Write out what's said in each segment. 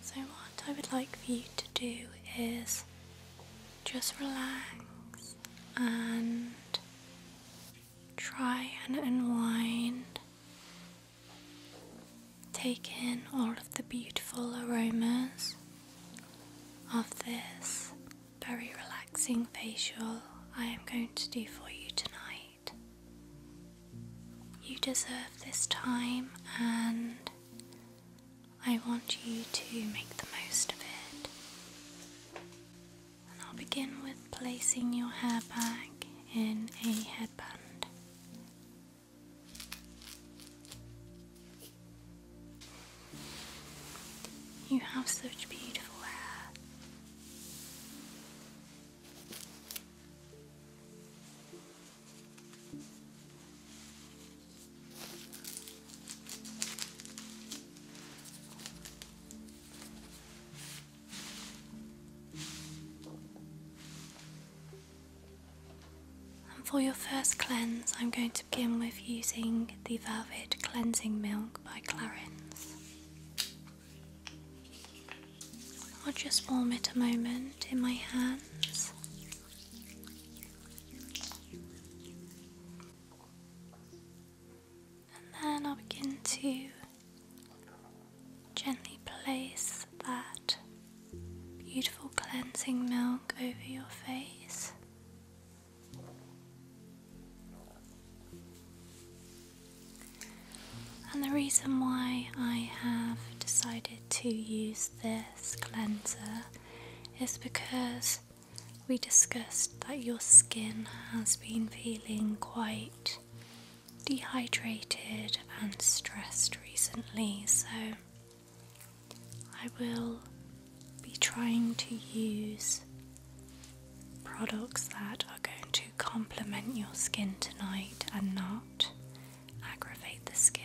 So, what I would like for you to do is just relax and try and unwind. Take in all of the beautiful aromas of this very relaxing facial I am going to do for you tonight. You deserve this time, and I want you to make the most of it. And I'll begin with placing your hair back in a headband. You have such beautiful hair. And for your first cleanse, I'm going to begin with using the Velvet Cleansing Milk by Clarins. I'll just warm it a moment in my hands. And then I'll begin to gently place that beautiful cleansing milk over your face. And the reason why I have decided to use this cleanser is because we discussed that your skin has been feeling quite dehydrated and stressed recently, so I will be trying to use products that are going to complement your skin tonight and not aggravate the skin.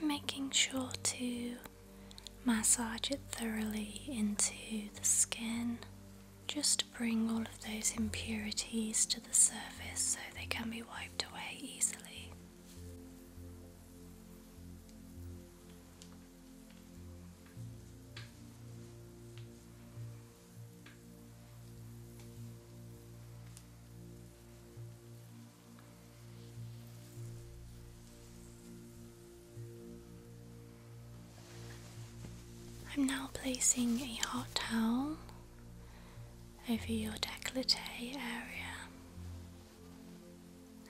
I'm making sure to massage it thoroughly into the skin just to bring all of those impurities to the surface so they can be wiped away easily. I'm now placing a hot towel over your décolleté area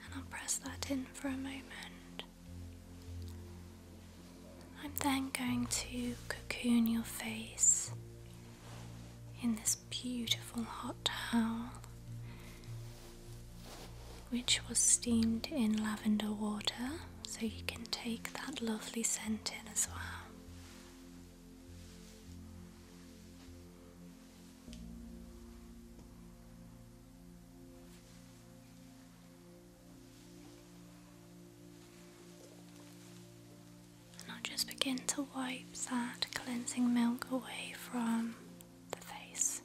and I'll press that in for a moment I'm then going to cocoon your face in this beautiful hot towel, which was steamed in lavender water, so you can take that lovely scent in as well. And I'll just begin to wipe that cleansing milk away from the face.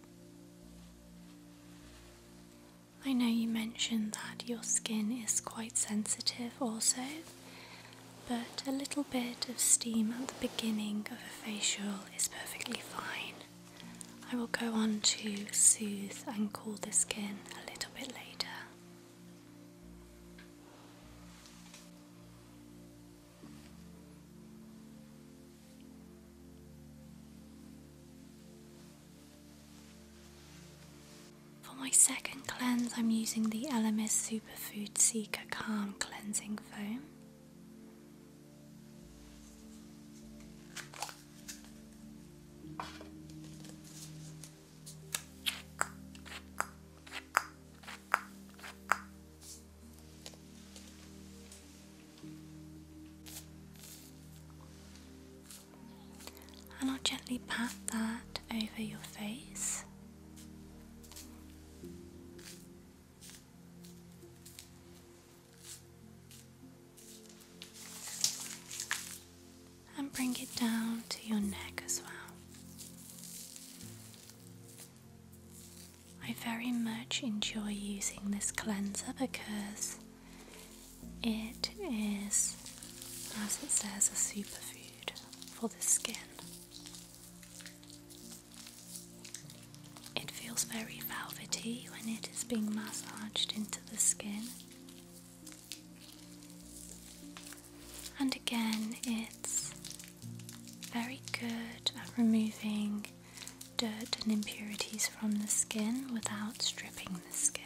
I know you mentioned that your skin is quite sensitive also, but a little bit of steam at the beginning of a facial is perfectly fine. I will go on to soothe and cool the skin a little bit later. For my second cleanse, I'm using the LMS Superfood Seeker Calm Cleansing Foam. And I'll gently pat that over your face and bring it down to your neck as well. I very much enjoy using this cleanser because it is, as it says, a superfood for the skin. It feels very velvety when it is being massaged into the skin. And again, it's very good at removing dirt and impurities from the skin without stripping the skin.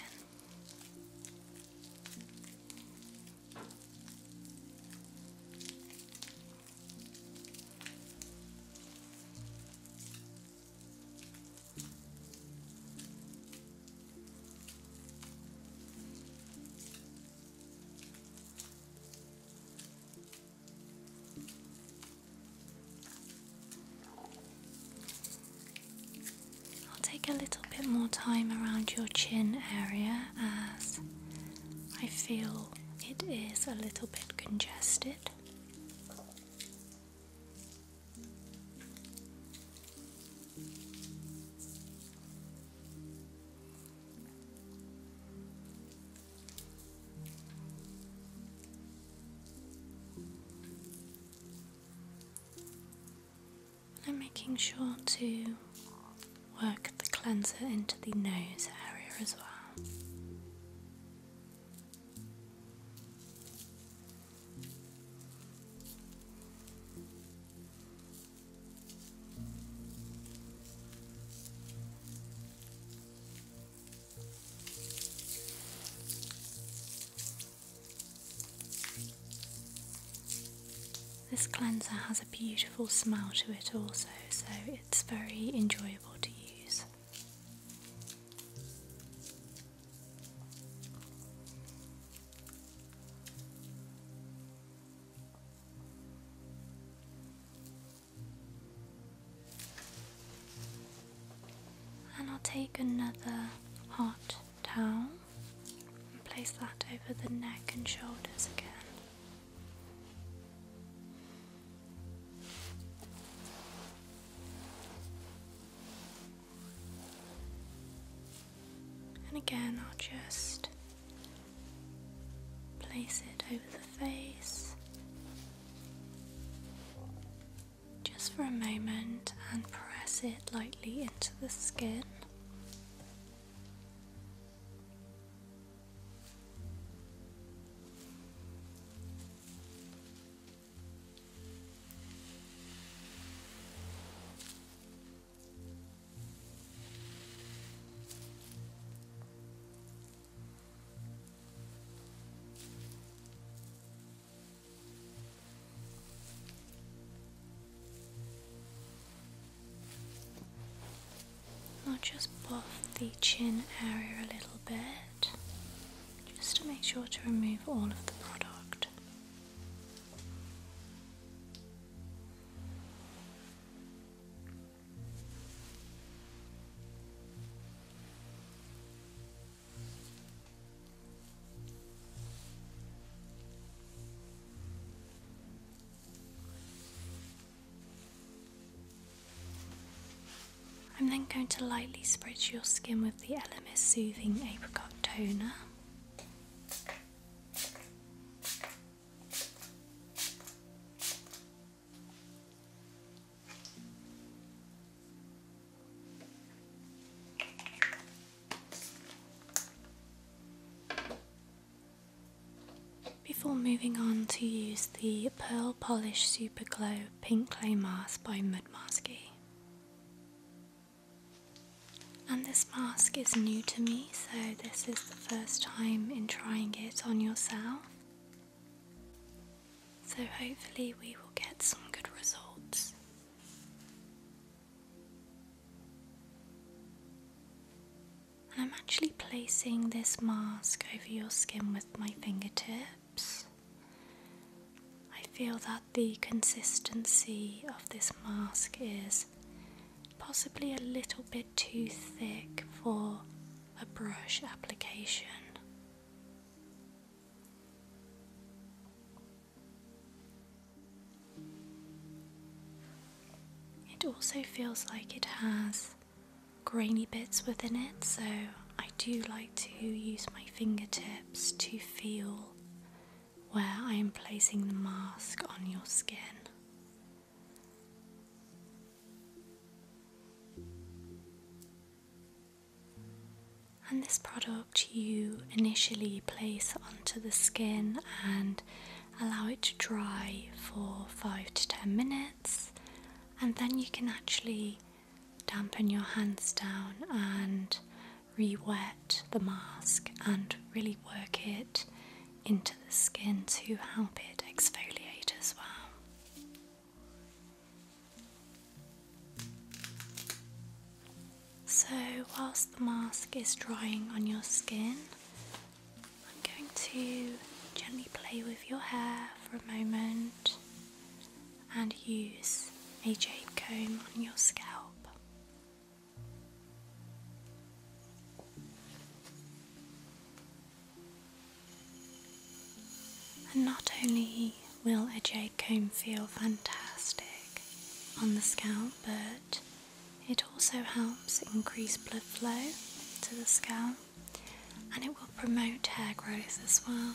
I'll take a little bit more time around your chin area as I feel it is a little bit congested. I'm making sure to work the cleanser into the nose area as well. This cleanser has a beautiful smell to it, also, so it's very enjoyable to use. And I'll take another hot towel and place that over the neck and shoulders again. And again, I'll just place it over the face just for a moment and press it lightly into the skin. I'll just buff the chin area a little bit just to make sure to remove all of the product. I'm then going to lightly spritz your skin with the LMS Soothing Apricot Toner. Before moving on to use the Pearl Polish Super Glow Pink Clay Mask by Masky. And this mask is new to me, so this is the first time in trying it on yourself. So hopefully, we will get some good results. I'm actually placing this mask over your skin with my fingertips. I feel that the consistency of this mask is possibly a little bit too thick for a brush application. It also feels like it has grainy bits within it, so I do like to use my fingertips to feel where I am placing the mask on your skin. And this product you initially place onto the skin and allow it to dry for 5 to 10 minutes, and then you can actually dampen your hands down and re wet the mask and really work it into the skin to help it exfoliate as well. So, whilst the mask is drying on your skin, I'm going to gently play with your hair for a moment and use a jade comb on your scalp. And not only will a jade comb feel fantastic on the scalp, but it also helps increase blood flow to the scalp and it will promote hair growth as well.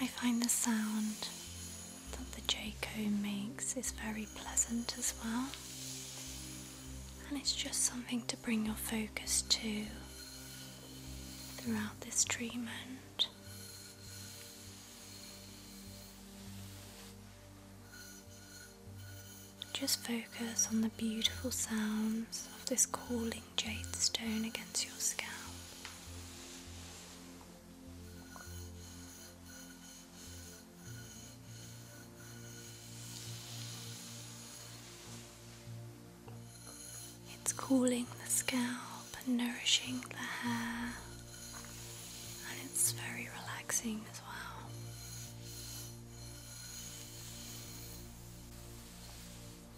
I find the sound that the Jayco makes is very pleasant as well, and it's just something to bring your focus to throughout this treatment. Just focus on the beautiful sounds of this calling jade stone against your scalp. It's cooling the scalp and nourishing the hair, and it's very relaxing as well.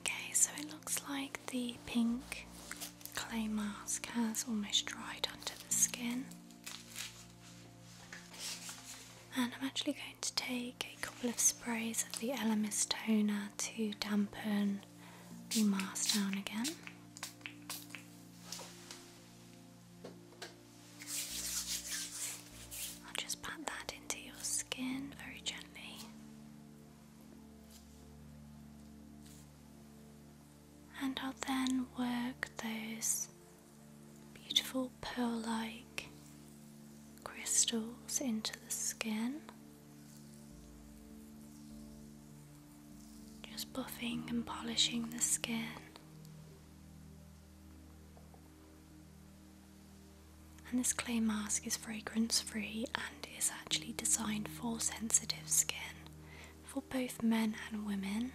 Okay, so it looks like the pink clay mask has almost dried under the skin. And I'm actually going to take a couple of sprays of the Elemis toner to dampen the mask down again. I'll just pat that into your skin very gently. And I'll then work those beautiful pearl like crystals into the skin. Just buffing and polishing the skin. And this clay mask is fragrance free and is actually designed for sensitive skin for both men and women.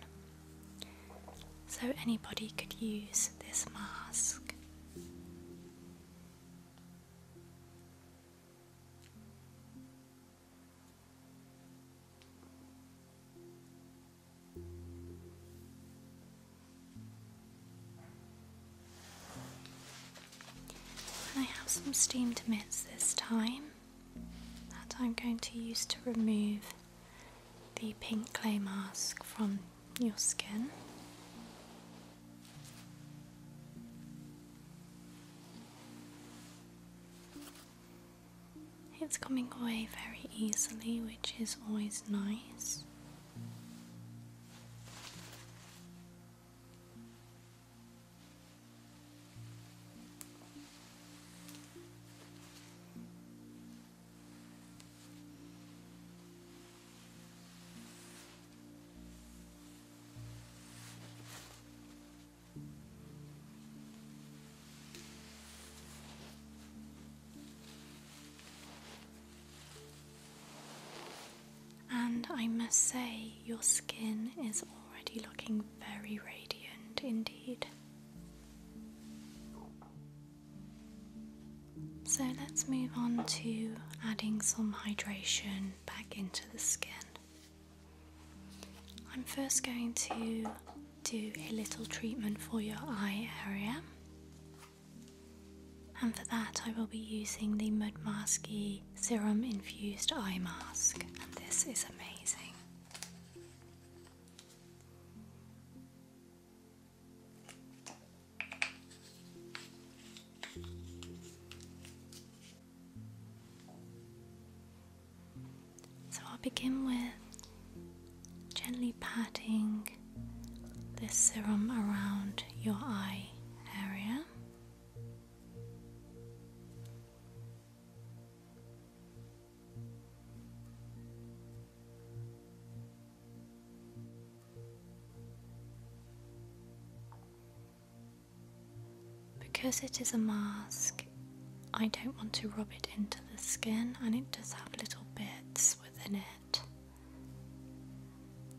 So anybody could use this mask. I have some steamed mitts this time that I'm going to use to remove the pink clay mask from your skin. It's coming away very easily, which is always nice. And I must say, your skin is already looking very radiant indeed. So let's move on to adding some hydration back into the skin. I'm first going to do a little treatment for your eye area. And for that I will be using the Mud Masky Serum Infused Eye Mask and this is amazing. So I'll begin with gently patting this serum around your eye area. Because it is a mask, I don't want to rub it into the skin, and it does have little bits within it.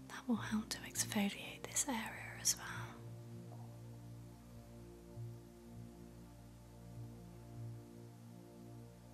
That will help to exfoliate this area as well.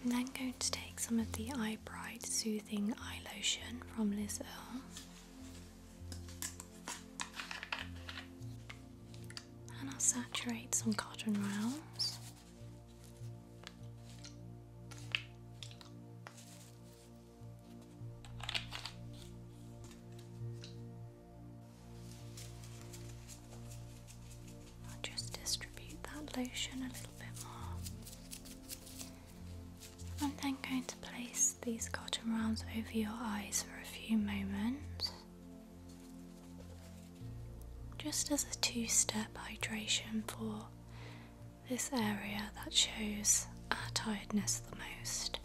I'm then going to take some of the Eye Bright Soothing Eye Lotion from Liz Earle and I'll saturate some cotton rounds. I'll just distribute that lotion a little bit more. I'm then going to place these cotton rounds over your eyes for a few moments. Just as a two step hydration for this area that shows our tiredness the most.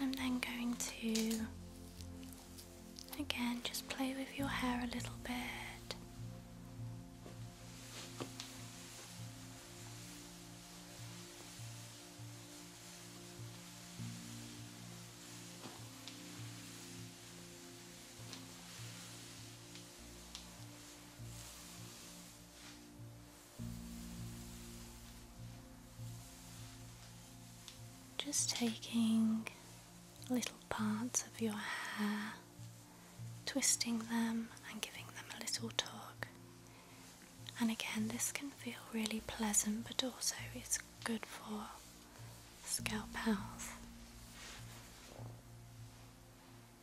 And I'm then going to again just play with your hair a little bit. Just taking little parts of your hair, twisting them and giving them a little tug. And again, this can feel really pleasant, but also it's good for scalp health.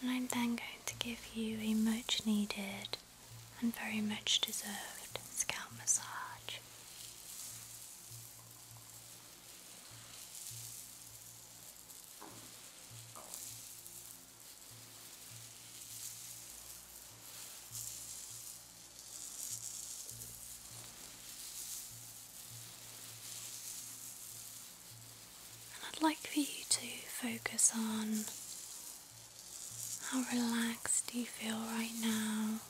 And I'm then going to give you a much needed and very much deserved scalp massage. And I'd like for you to focus on how relaxed you feel right now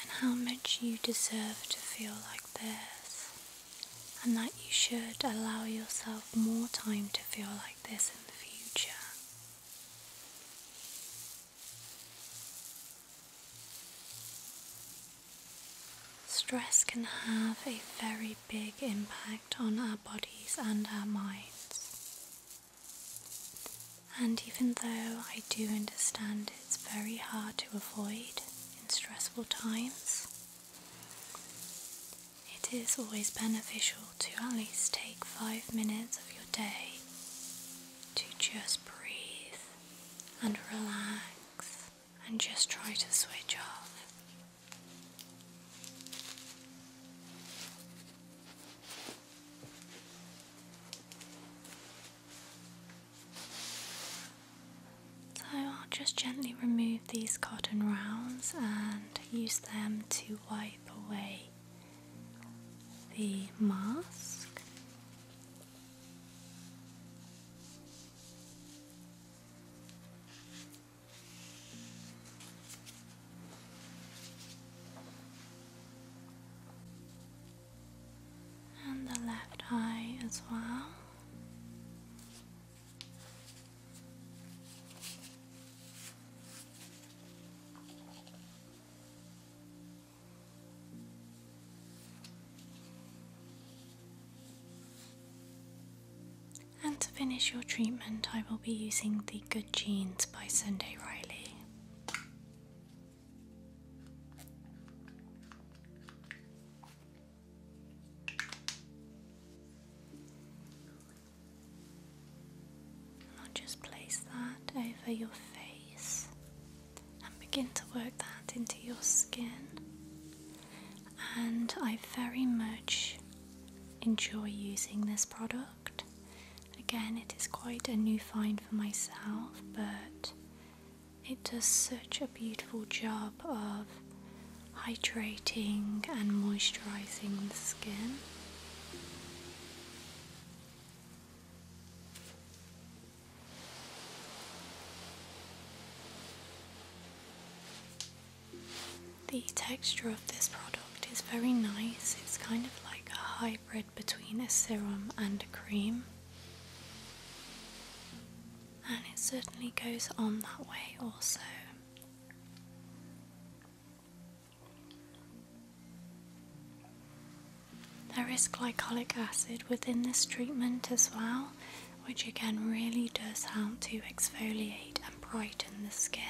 and how much you deserve to feel like this and that you should allow yourself more time to feel like this in the future. Stress can have a very big impact on our bodies and our minds. And even though I do understand it's very hard to avoid in stressful times, it is always beneficial to at least take five minutes of your day to just breathe and relax and just try to switch off. So I'll just gently remove these cotton rounds and use them to wipe away the mask. And the left eye as well. And to finish your treatment, I will be using the Good Genes by Sunday Riley. And I'll just place that over your face and begin to work that into your skin. And I very much enjoy using this product. Again, it is quite a new find for myself, but it does such a beautiful job of hydrating and moisturizing the skin. The texture of this product is very nice, it's kind of like a hybrid between a serum and a cream, and it certainly goes on that way also. There is glycolic acid within this treatment as well, which again really does help to exfoliate and brighten the skin.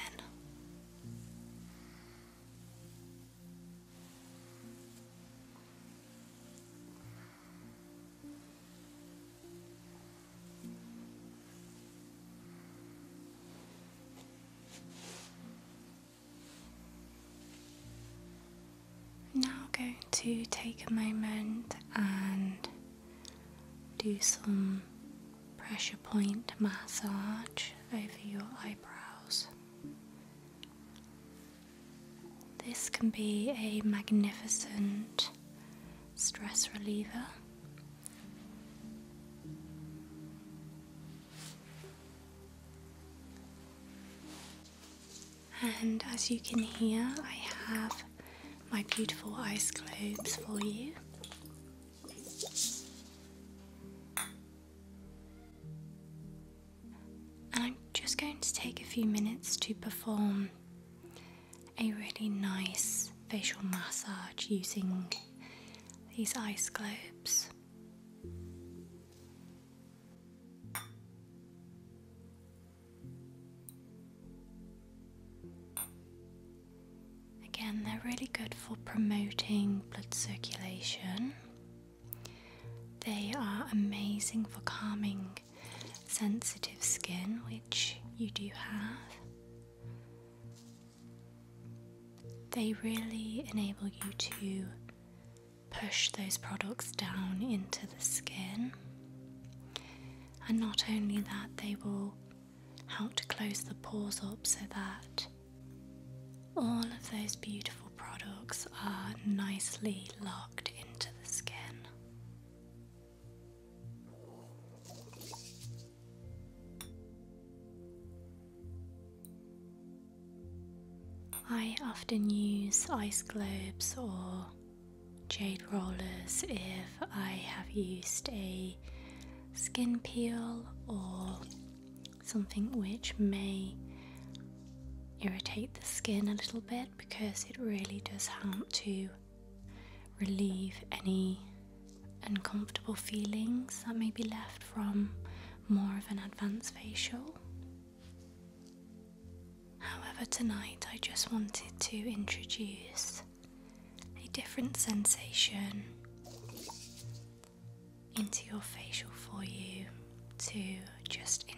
I'm now going to take a moment and do some pressure point massage over your eyebrows. This can be a magnificent stress reliever. And as you can hear, I have my beautiful ice globes for you. And I'm just going to take a few minutes to perform a really nice facial massage using these ice globes. Again, they're really good for promoting blood circulation. They are amazing for calming sensitive skin, which you do have. They really enable you to push those products down into the skin. And not only that, they will help to close the pores up so that all of those beautiful products are nicely locked into the skin. I often use ice globes or jade rollers if I have used a skin peel or something which may irritate the skin a little bit because it really does help to relieve any uncomfortable feelings that may be left from more of an advanced facial. However, tonight I just wanted to introduce a different sensation into your facial for you to just enjoy.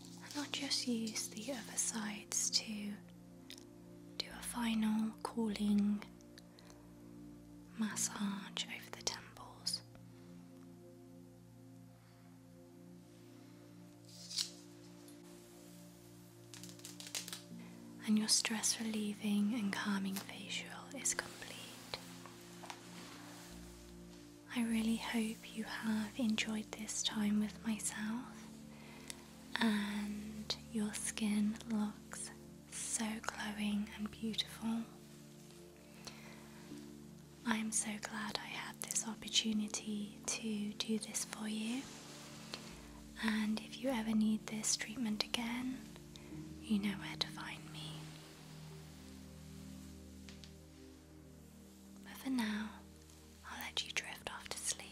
And I'll just use the other sides to do a final calling massage over the temples. And your stress relieving and calming facial is complete. I really hope you have enjoyed this time with myself and your skin looks so glowing and beautiful. I'm so glad I had this opportunity to do this for you. And if you ever need this treatment again, you know where to find me. But for now, I'll let you drift off to sleep.